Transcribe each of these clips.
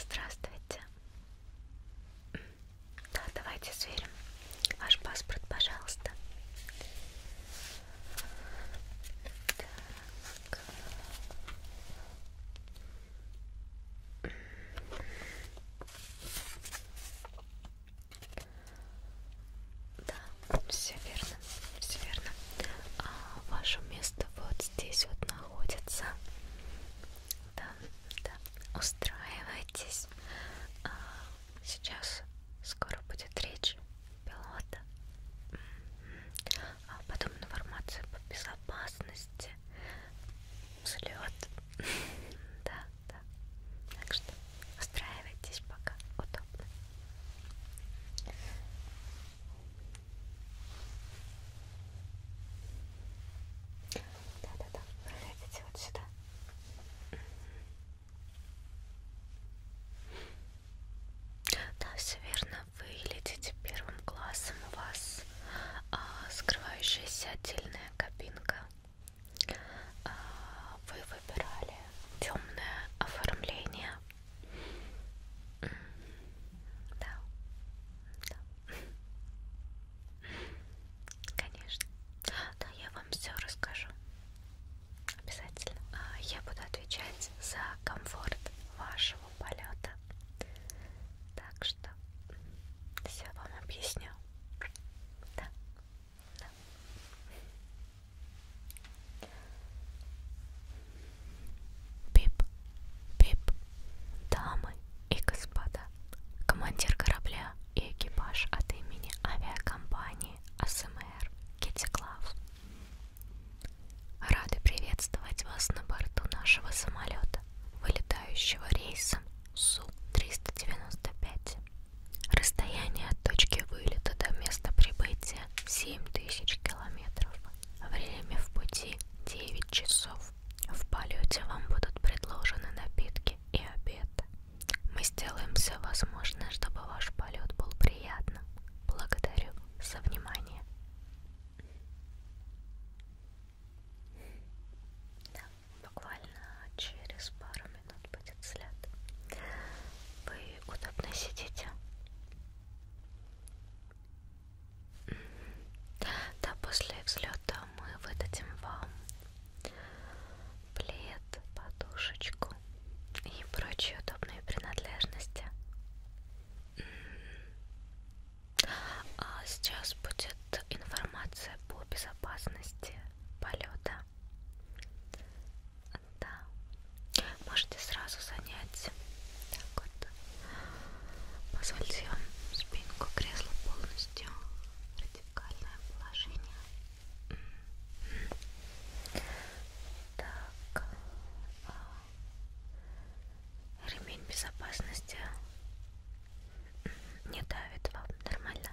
Здравствуйте. Да, давайте сверим ваш паспорт, пожалуйста. Так. Да, все верно, все верно. А ваше место вот здесь вот находится. Да, да. Устраивайтесь. А сейчас скоро будет речь пилота. А потом информацию по безопасности. Взлет. Да, да. Так что устраивайтесь пока удобно. Да-да-да, пролезите вот сюда. Да, все верно, вы летите первым классом, у вас а, скрывающаяся отдельная кабинка. А, вы выбирали темное оформление. Да. Да. Конечно. Да, я вам все расскажу. Обязательно. А, я буду отвечать за комфорт вашего полета. Так что все вам объясню. Да. Да. Пип, пип, дамы и господа, командир корабля и экипаж от имени авиакомпании АСМР Китиклав. Рады приветствовать вас на борту нашего самолета, вылетающего рейсом Су-395. Расстояние от точки вылета до места прибытия семь тысяч километров. Время в пути 9 часов. В полете вам будут предложены напитки и обед. Мы сделаем все возможное, чтобы ваш полет был приятным. Благодарю за внимание. Да, буквально через пару минут будет след. Вы удобно сидите? Да, после взлета мы выдадим вам плед, подушечку и прочие удобные принадлежности. А сейчас будет информация по безопасности полета. Да. Можете сразу занять. Так вот. Позвольте вам спинку кресла полностью. Радикальное положение. Так. А, ремень безопасности не давит вам нормально.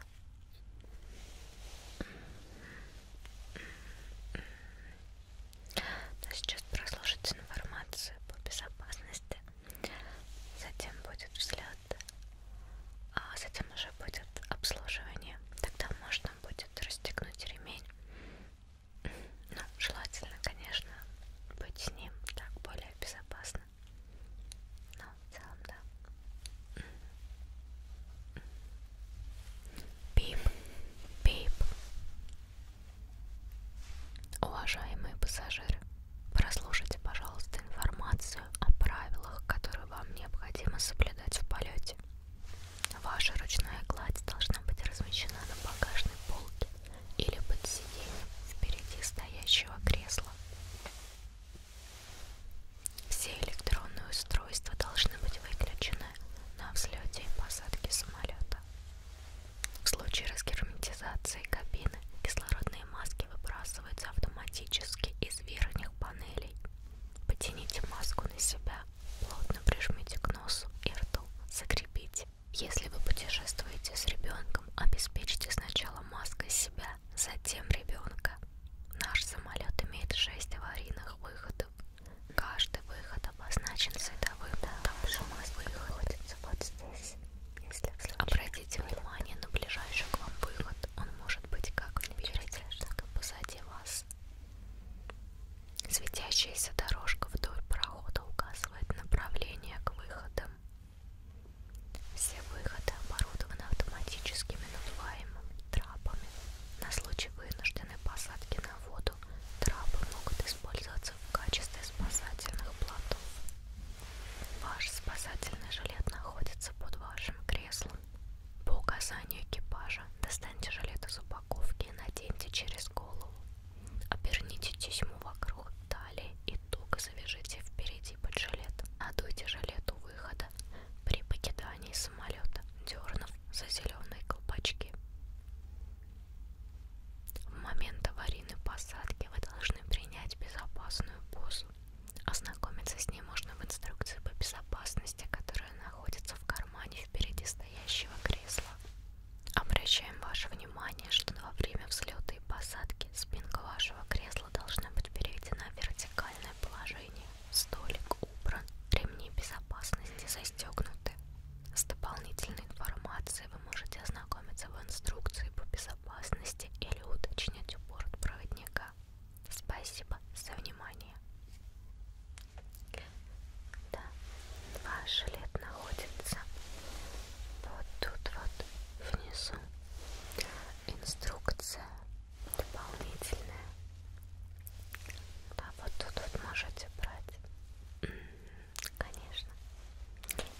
Но сейчас прослушать информацию по безопасности. Затем будет взлет. А затем уже будет обслуживание. Тогда можно будет расстегнуть ремень. Ну, желательно, конечно, быть с ним так более безопасно. Но ну, в целом, да. Пип, пип. Уважаемые пассажиры, прослушайте, пожалуйста, информацию о правилах, которые вам необходимо соблюдать в полете. Ваша ручная гладь должна быть размещена на багажной полке или под сиденьем впереди стоящего кресла. Все электронные устройства должны быть выключены на взлете и посадке самолета. В случае разгерметизации кабины кислородные маски выбрасываются автоматически из верхних панелей. Потяните маску на себя, плотно прижмите к носу и рту, закрепите. Если вы путешествуете с ребенком, обеспечьте сначала маской себя, затем ребенка. Наш самолет имеет 6 аварийных выходов Каждый выход обозначен световым да, там мы выходится вот здесь. Если Обратите внимание на ближайший к вам выход. Он может быть как впереди, так и позади вас. Светящаяся дорожка вдоль прохода указывает направление к выходам. Все выходы оборудованы автоматическими надуваемыми трапами на случай вынужденного вынуждены посадки на воду, трапы могут использоваться в качестве спасательных плотов. Ваш спасательный жилет находится под вашим креслом. По указанию экипажа достаньте жилет из упаковки и наденьте через голову. Оберните тесьму вокруг талии и туго завяжите впереди под жилет. Надуйте жилет у выхода, при покидании самолета, дернув за зеленые колпачки. В момент аварийной посадки вы должны принять безопасную позу. Ознакомиться с ней можно в инструкции по безопасности, которая находится в кармане впереди стоящего кресла. Обращаем ваше внимание, что во время взлета и посадки спинка вашего кресла должна быть переведена в вертикальное положение. Столик убран, ремни безопасности застегнуты. С дополнительной информацией вы можете ознакомиться в инструкции по безопасности или уточнить у бортпроводника. Спасибо за внимание. Да, ваш жилет находится вот тут вот внизу. Инструкция дополнительное. Да, вот тут вот можете брать. Конечно.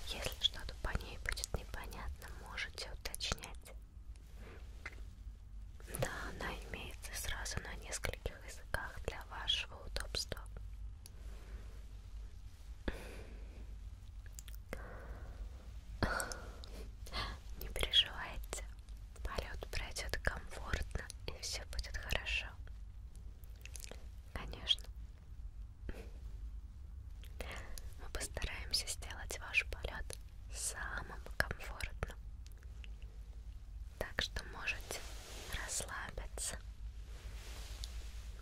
Если что-то по ней будет непонятно, можете уточнять. Да, она имеется сразу на нескольких языках для вашего удобства. Не переживайте, полет пройдет комфортно и все будет хорошо. Конечно. Мы постараемся сделать ваш полет самым комфортным. Так что можете расслабиться.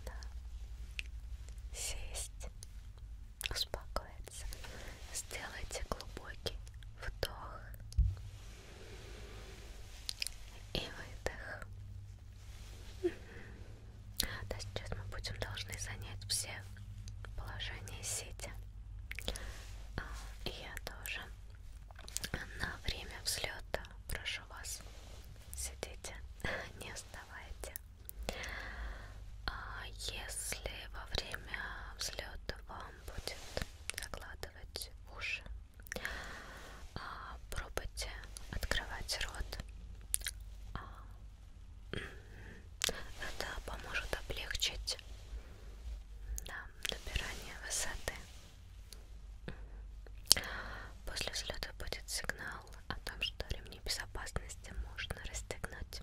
Да. Сесть, успокоиться нравится, сделайте глубокий вдох и выдох. Да, сейчас мы будем должны занять все положения сидя. А, я тоже на время взлета прошу вас сидите, не вставайте. А, если во время взлета вам вам будет закладывать уши. А, пробуйте открывать рот. А, это поможет облегчить да, набирание высоты. После взлета будет сигнал о том, что ремни безопасности можно расстегнуть.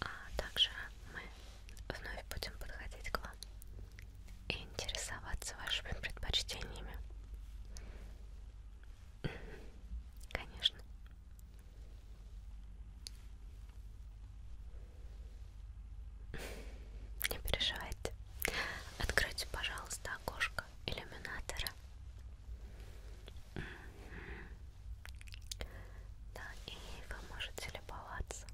А также мы вновь будем подходить к вам и интересоваться вашими предпочтениями. Конечно. Не переживайте. Откройте, пожалуйста, окошко иллюминатора. Да, и вы можете любоваться.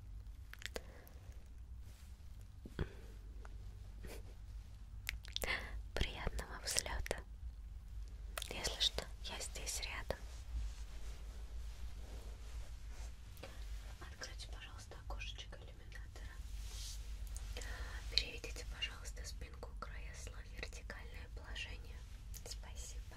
Приятного взлета. Если что, я здесь рядом. Откройте, пожалуйста, окошечко иллюминатора. Переведите, пожалуйста, спинку края слой в вертикальное положение. Спасибо.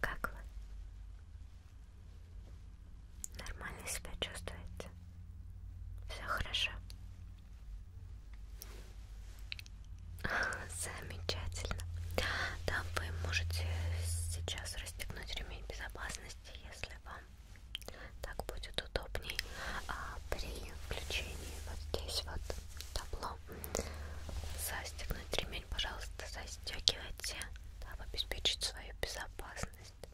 Как вы? Нормально себя чувствуете? Все хорошо? Замечательно. Да, вы можете сейчас расстегнуть ремень безопасности, если вам так будет удобней. А при включении вот здесь вот табло застегнуть ремень, пожалуйста, застегивайте, дабы обеспечить свою безопасность.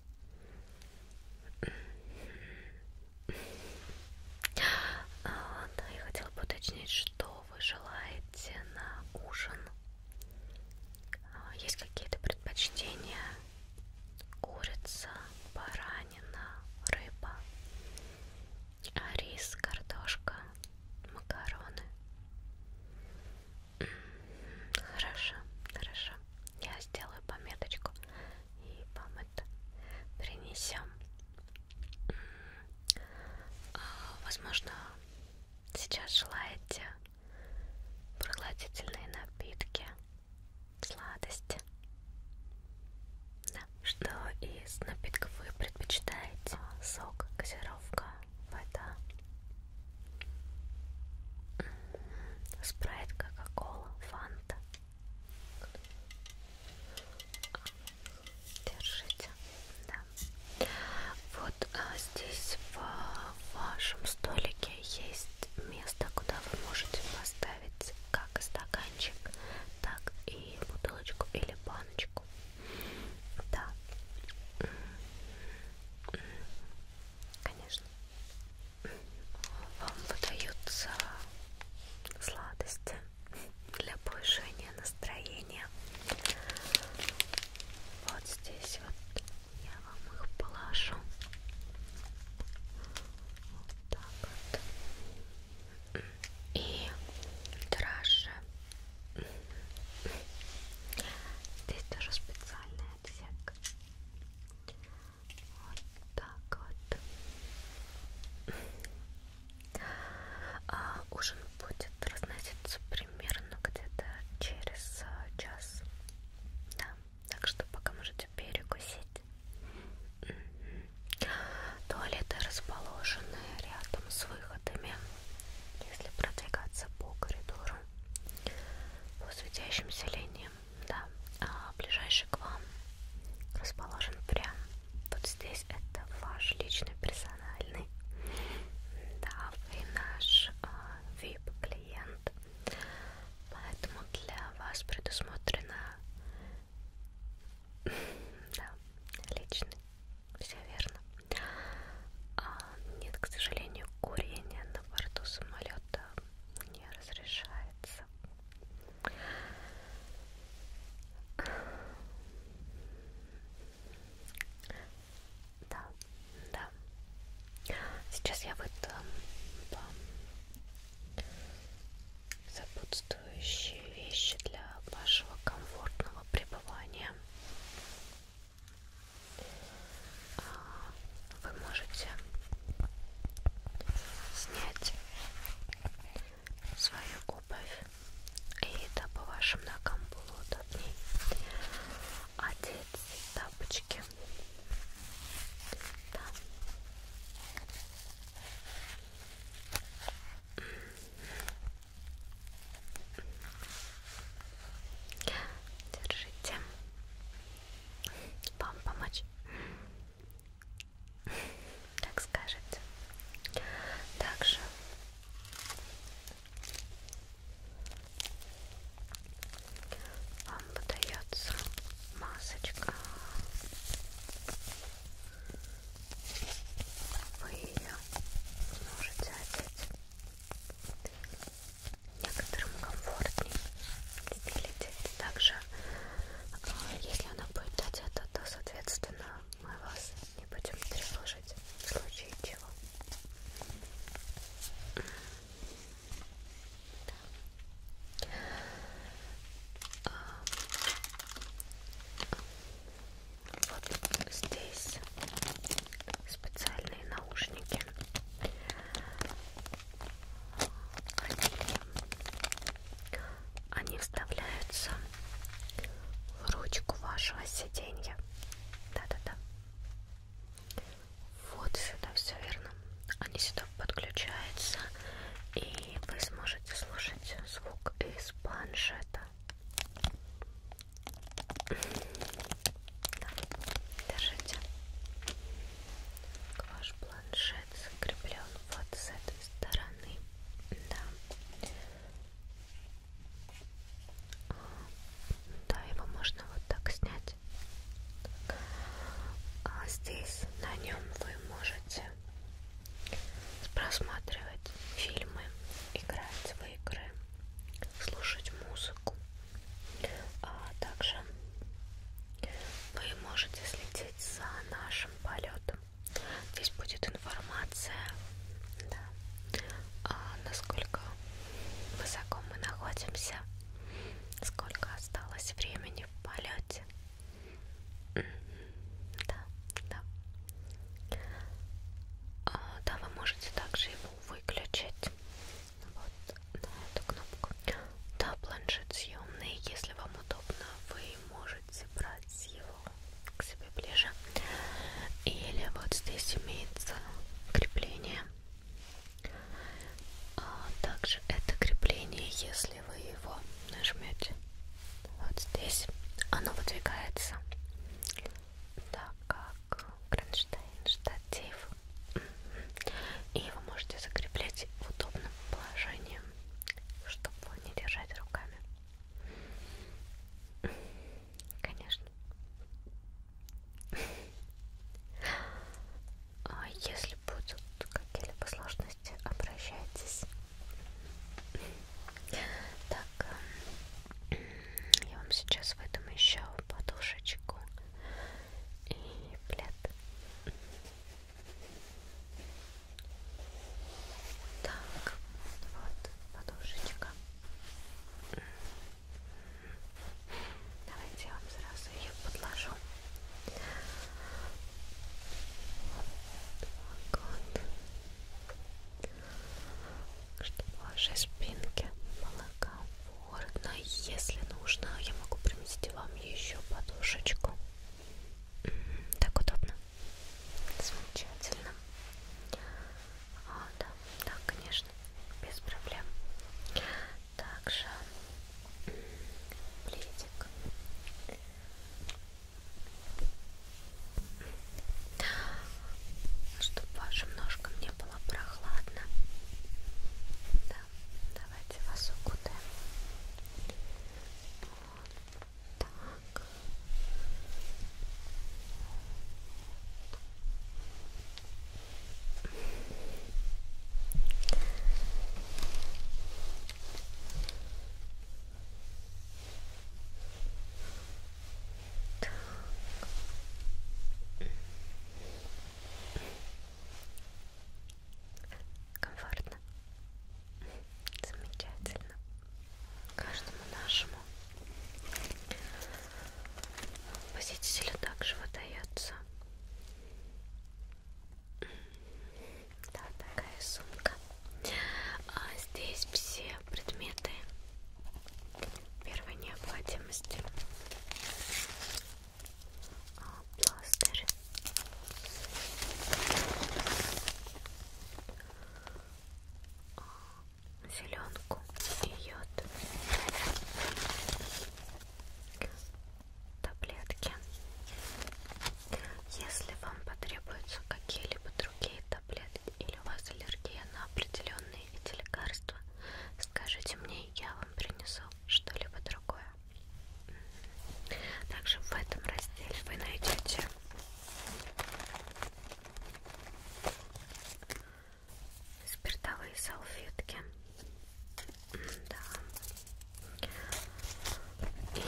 А, да, я хотела бы уточнить, что вы желаете на ужин. А, есть какие-то предпочтения? Курица, баранина, рыба, рис, картошка, макароны. Хорошо, хорошо. Я сделаю пометочку и вам это принесем. А, возможно, сейчас желаете прохладительные напитки, сладости? Да. Что из напитков вы предпочитаете? А, сок, газировка, вода, спрайт, кока-кола, фанта. Держите. Да. Вот а, здесь в вашем столике есть место, куда вы можете поставить как стаканчик, так и бутылочку или баночку. Да. Конечно. Вам выдаются сладости для повышения настроения зрения. Вот здесь вот я вам их положу. Вот так вот. И дрожжи. Здесь тоже специальный отсек. Вот так вот. А ужин будет разноситься примерно где-то через а, час. Да, так что пока можете перекусить. Туалеты расположены рядом с выходами. Если продвигаться по коридору, по светящимся линиям, да, а ближайший к вам расположен прям под здесь это ваш личный персональный, да, вы наш э, а, VIP клиент, поэтому для вас предусмотрено, да, личный, все верно. А, нет, к сожалению, курение на борту самолета не разрешается. Да, да. Сейчас я выдам вам э, сопутствующие вещи для вашего комфортного пребывания. А, вы можете снять свою обувь и дабы вашим ногам было удобней одеть тапочки. Да. Держите. Вам помочь? Так скажете. Также вам подается масочка. Вы ее можете одеть. Некоторым комфортнее лететь. Также, а, если она будет одета, то, соответственно, мы вас не будем тревожить в случае чего. Да. А, вот здесь специальные наушники. Они, они вставляются в ручку вашего сиденья. Да-да-да. Вот сюда все верно. Они сюда подключаются, и вы сможете слушать звук из планшета. Да. Держите. Ваш планшет закреплен вот с этой стороны. Да. Да, его можно вот так снять. А здесь на нем вы можете просматривать фильмы, играть в игры, слушать музыку. А также вы можете следить за нашим полетом. Здесь будет информация, да, а насколько высоко мы находимся, сколько осталось времени в полете. Да, да. А, да, вы можете также его выключить. Вот на эту кнопку. Да, планшет съемный. Если вам удобно, вы можете можете брать его к себе ближе. Или вот здесь имеется крепление. А также это крепление, если вы его нажмете вот здесь, оно выдвигается. Так как кронштейн, штатив. И вы можете закреплять в удобном положении, чтобы не держать руками. Конечно. А если будут какие-либо сложности, обращайтесь. Так, эм, я вам сейчас выдам еще подушечку и плед. Так, вот подушечка. Давайте я вам сразу ее подложу. Вот так вот. Чтобы в вашей спинке было комфортно. Если нужно, я могу принести вам еще подушечку. Так удобно. Замечательно. А, да, да, конечно, без проблем. Также пледик. Чтобы вашим ножкам не было прохладно. Да, давайте вас укутаем. Вот. Так. Так. Комфортно. Замечательно каждому нашему посетителю также выдается да, такая сумка. А здесь все предметы первой необходимости. А, пластырь, зеленку и йод. Таблетки. Если вам потребуются какие-либо другие таблетки или у вас аллергия на определенные эти лекарства, скажите мне, я вам принесу что-либо другое. Также в этом разделе вы найдете спиртовые салфетки да. и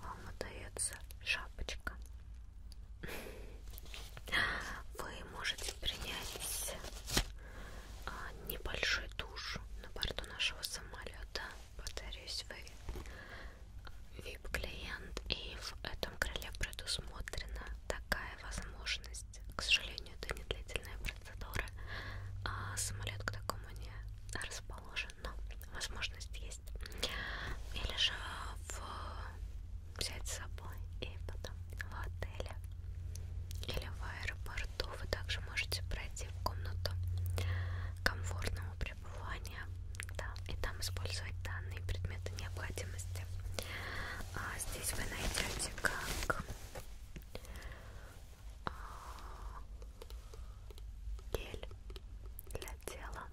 вам удается шапочка вы можете принять а, небольшой душ на борту нашего самолета. Повторюсь, вы VIP-клиент, и в этом крыле предусмотрена такая возможность. К сожалению, это не длительная процедура, а самолет к такому не расположен, но возможность есть. Или же в... взять с собой и потом в отеле или в аэропорту борту вы также можете пройти в комнату комфортного пребывания да, и там использовать данные предметы необходимости. А здесь вы найдете как а, гель для тела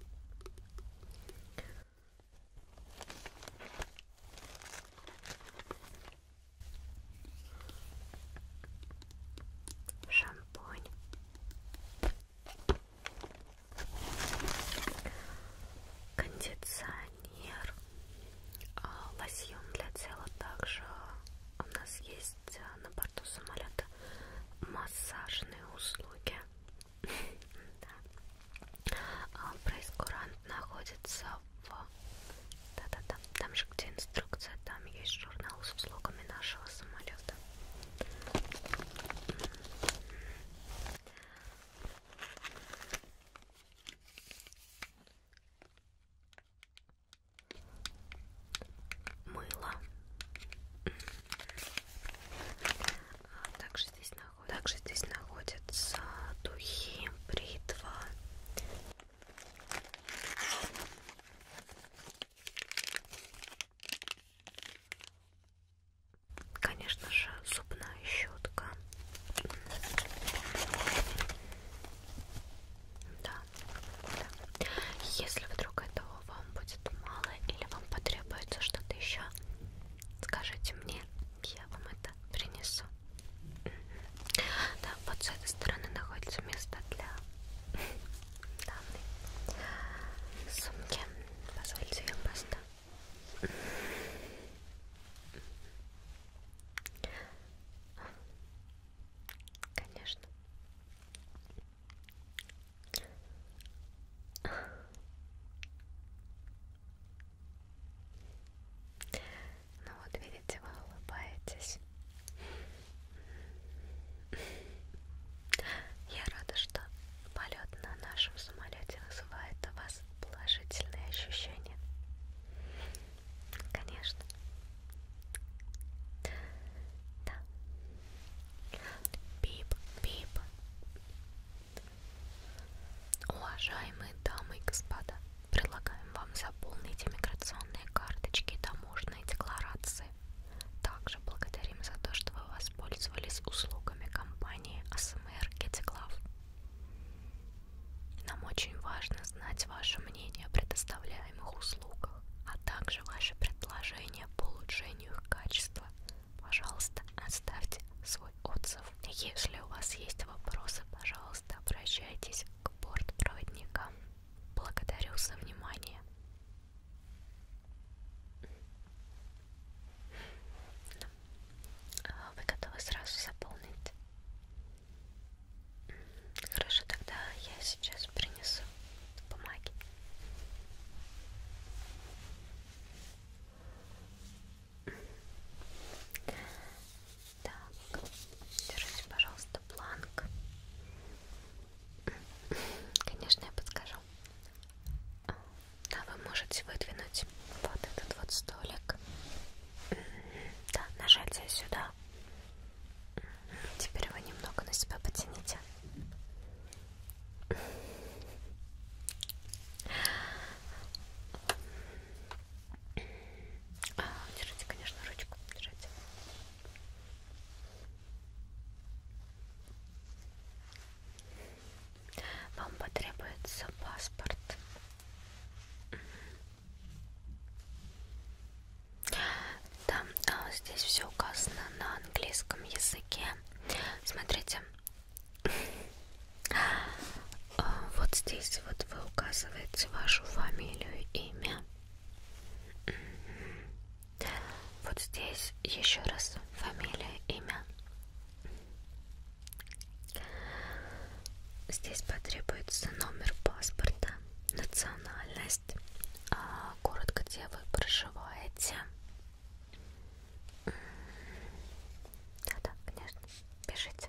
шампунь кондиционер а, лосьон для тела также у нас есть э, на борту самолета массажные услуги да. А, прейскурант находится того. Да-да-да, там же где инструкция, там есть журнал с услугами нашего самолета. Мыло. Также здесь, наход... Также здесь находятся духи, бритва, Конечно же, зубная щетка. Да. да. Если вдруг этого вам будет мало или вам потребуется что-то еще, скажите мне, я вам это принесу. Да, вот с этой стороны находится место для данной сумки. Позвольте ее просто Конечно. Ну вот видите, вы улыбаетесь. Я рада, что полет на нашем самолете вызывает у вас положительные ощущения. Конечно. Да. Пип, пип. Уважаемые дамы и господа. Предлагаем вам заполнить иммиграционные карточки и таможенные декларации. Также благодарим за то, что вы воспользовались услугами компании АСМР Гетеклав. Нам очень важно знать ваше мнение о предоставляемых услугах, а также ваши предложения по улучшению их качества. Пожалуйста, оставьте свой отзыв. Если у вас есть вопросы, пожалуйста, обращайтесь к бортпроводникам. Благодарю за внимание. А, вы готовы сразу заполнить? Хорошо, тогда я сейчас принесу бумаги. Так, держите, пожалуйста, планк. Конечно, я подскажу. Да, вы можете выдвинуть вот этот вот столик. Да, нажать сюда. Теперь вы немного на себя потяните. А, держите, конечно, ручку, держите. Вам потребуется паспорт. Да, здесь все указано на английском языке. Смотрите, а, вот здесь вот вы указываете вашу фамилию, имя. Вот здесь еще раз фамилия, имя. Здесь потребуется номер паспорта, национальность, а, город, где вы проживаете. Да-да, конечно, пишите.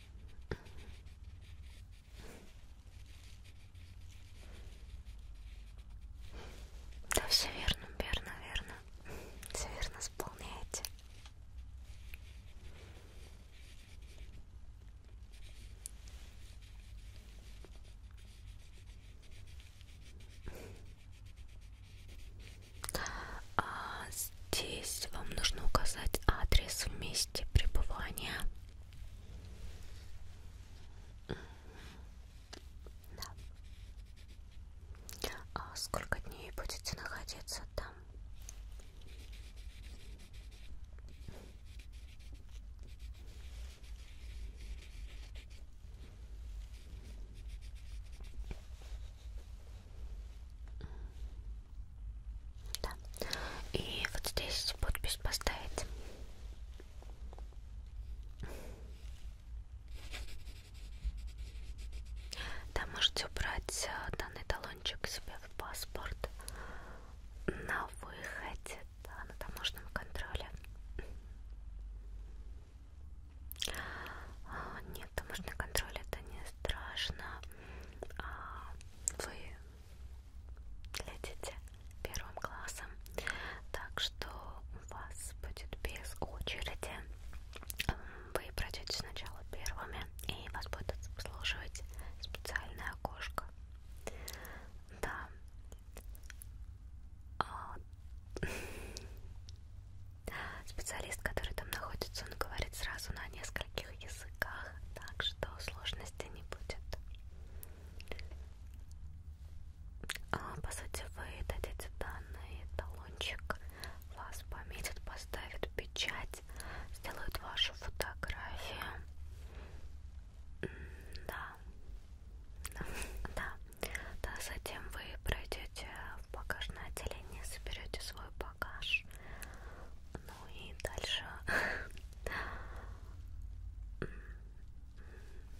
Да, все верно, верно, верно. Все верно исполняете. А, Здесь вам нужно указать адрес в месте пребывания. Да. А сколько дней будете находиться там? Да. И вот здесь подпись поставить. Да, можете убрать э, данный талончик себе в паспорт на выходе да, на таможенном контроле. А, нет, таможенный контроль это не страшно. А, вы летите первым классом, так что у вас будет без очереди. Вы пройдете сначала первыми, и вас будет обслуживать специальное окошко. Да. А... Специалист, который там находится, он говорит сразу на нескольких языках, так что сложностей не будет. А, по сути, вы дадите данный талончик, вас пометят, поставят печать, сделают вашу фотографию. Да. да, да, да, затем вы пройдете в багажное отделение, соберете свой багаж. Ну и дальше.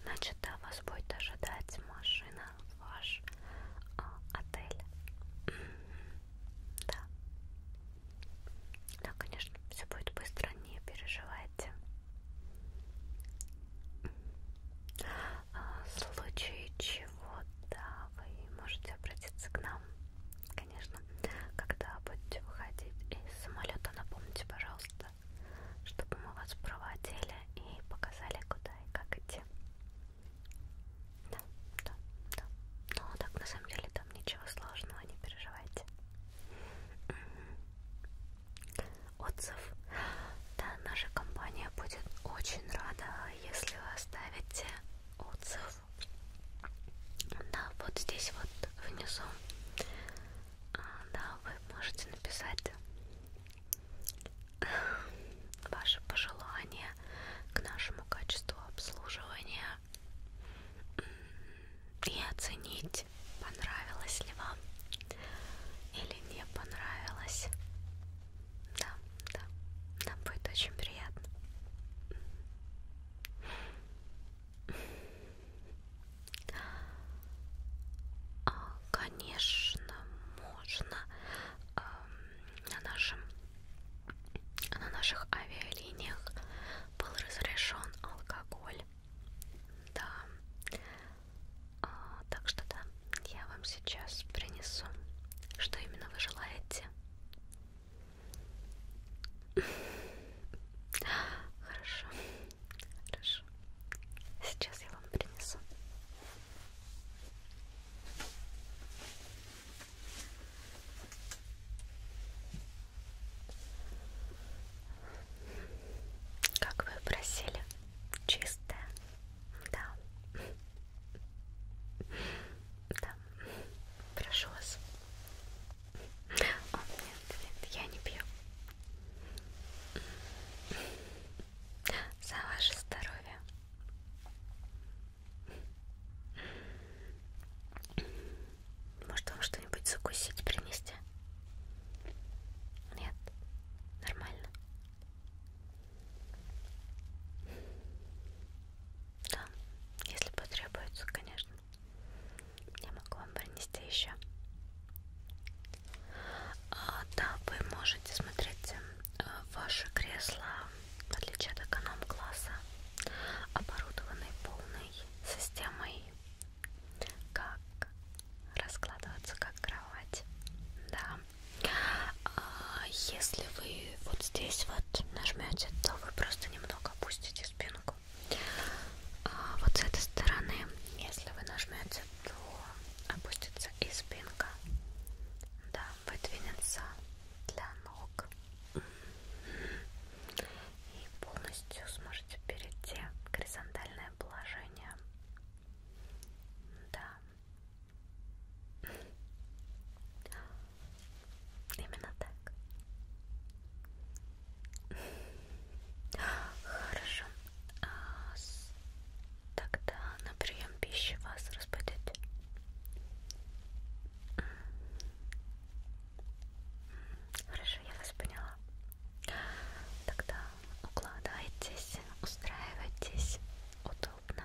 Значит, да, вас будет ожидать машина в ваш э, отель. Да. Да, конечно, все будет быстро, не переживайте. А, в случае чего вот, да, вы можете обратиться к нам, конечно, когда будете выходить из самолета, напомните, пожалуйста, чтобы мы вас проводили и показали, куда и как идти. Да, да, да. Ну, а так, на самом деле, там ничего сложного, не переживайте. Отзыв. Да, наша компания будет очень рада, если вы оставите отзыв, да, вот здесь вот внизу, а, да, вы можете написать ваши пожелания к нашему качеству обслуживания и оценить, понравилось ли вам или не понравилось. Да, да, нам будет очень приятно. А, конечно, можно эм, на нашем на наших авиалиниях был разрешен алкоголь. Да. А, так что да, я вам сейчас принесу, что именно вы желаете. Хорошо, хорошо. Сейчас я вам принесу. Как вы просили, чистая, да. Да, прошу вас. О, нет, нет, я не пью. За ваше здоровье. Может вам что-нибудь закусить принести? Нет? Нормально? Да, если потребуется, конечно. Я могу вам принести еще. А, да, вы можете смотреть э, ваши кресла, в отличие от эконом-класса, оборудованы полной системой, как раскладываться как кровать. Да. А, если вы вот здесь вот нажмете, то вы просто немного опустите спинку. А, вот с этой стороны, если вы нажмете, то опустится и спинка. Да, выдвинется для ног. И полностью сможете перейти в горизонтальное положение. Да. Именно так. Хорошо. А тогда на прием пищи вас разбудить. Хорошо, я вас поняла. Тогда укладывайтесь, устраивайтесь удобно.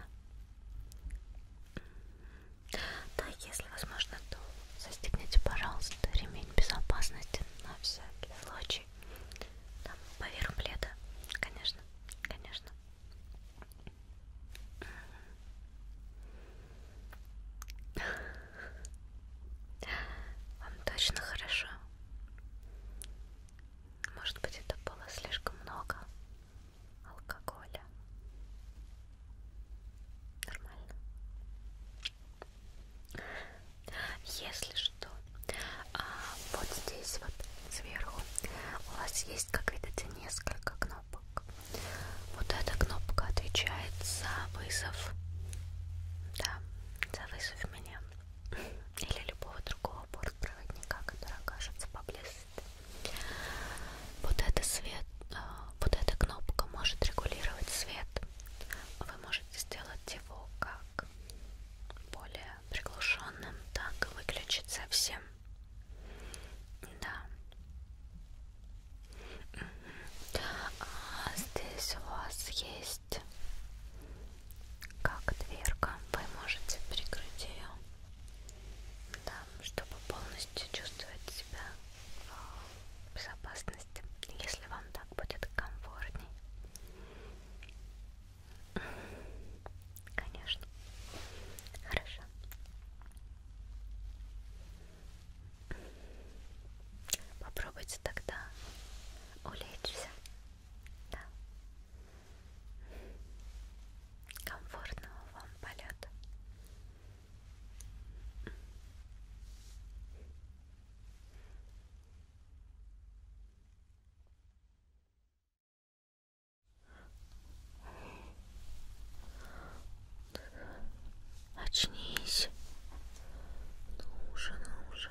Да, если возможно, то застегните, пожалуйста, ремень безопасности на всякий случай. Там поверх пледа, конечно, конечно. Вам точно хорошо. Может быть, это было слишком много алкоголя. Нормально. Если что, а, вот здесь вот сверху у вас есть, как видите, несколько кнопок. Вот эта кнопка отвечает за вызов. Да, за вызов меня или любого другого бортпроводника, который окажется поблизости. Вот это свет, а, вот эта кнопка может регулировать свет. Вы можете сделать его как более приглушенным, так и выключить совсем. Да. А здесь у вас есть как дверка, вы можете прикрыть ее, да, чтобы полностью чувствовать себя а, в безопасности, если вам так будет комфортней. Конечно. Хорошо. Попробуйте тогда улечься. Да. Комфортного вам полета. Очнись. Ну уже, ну уже.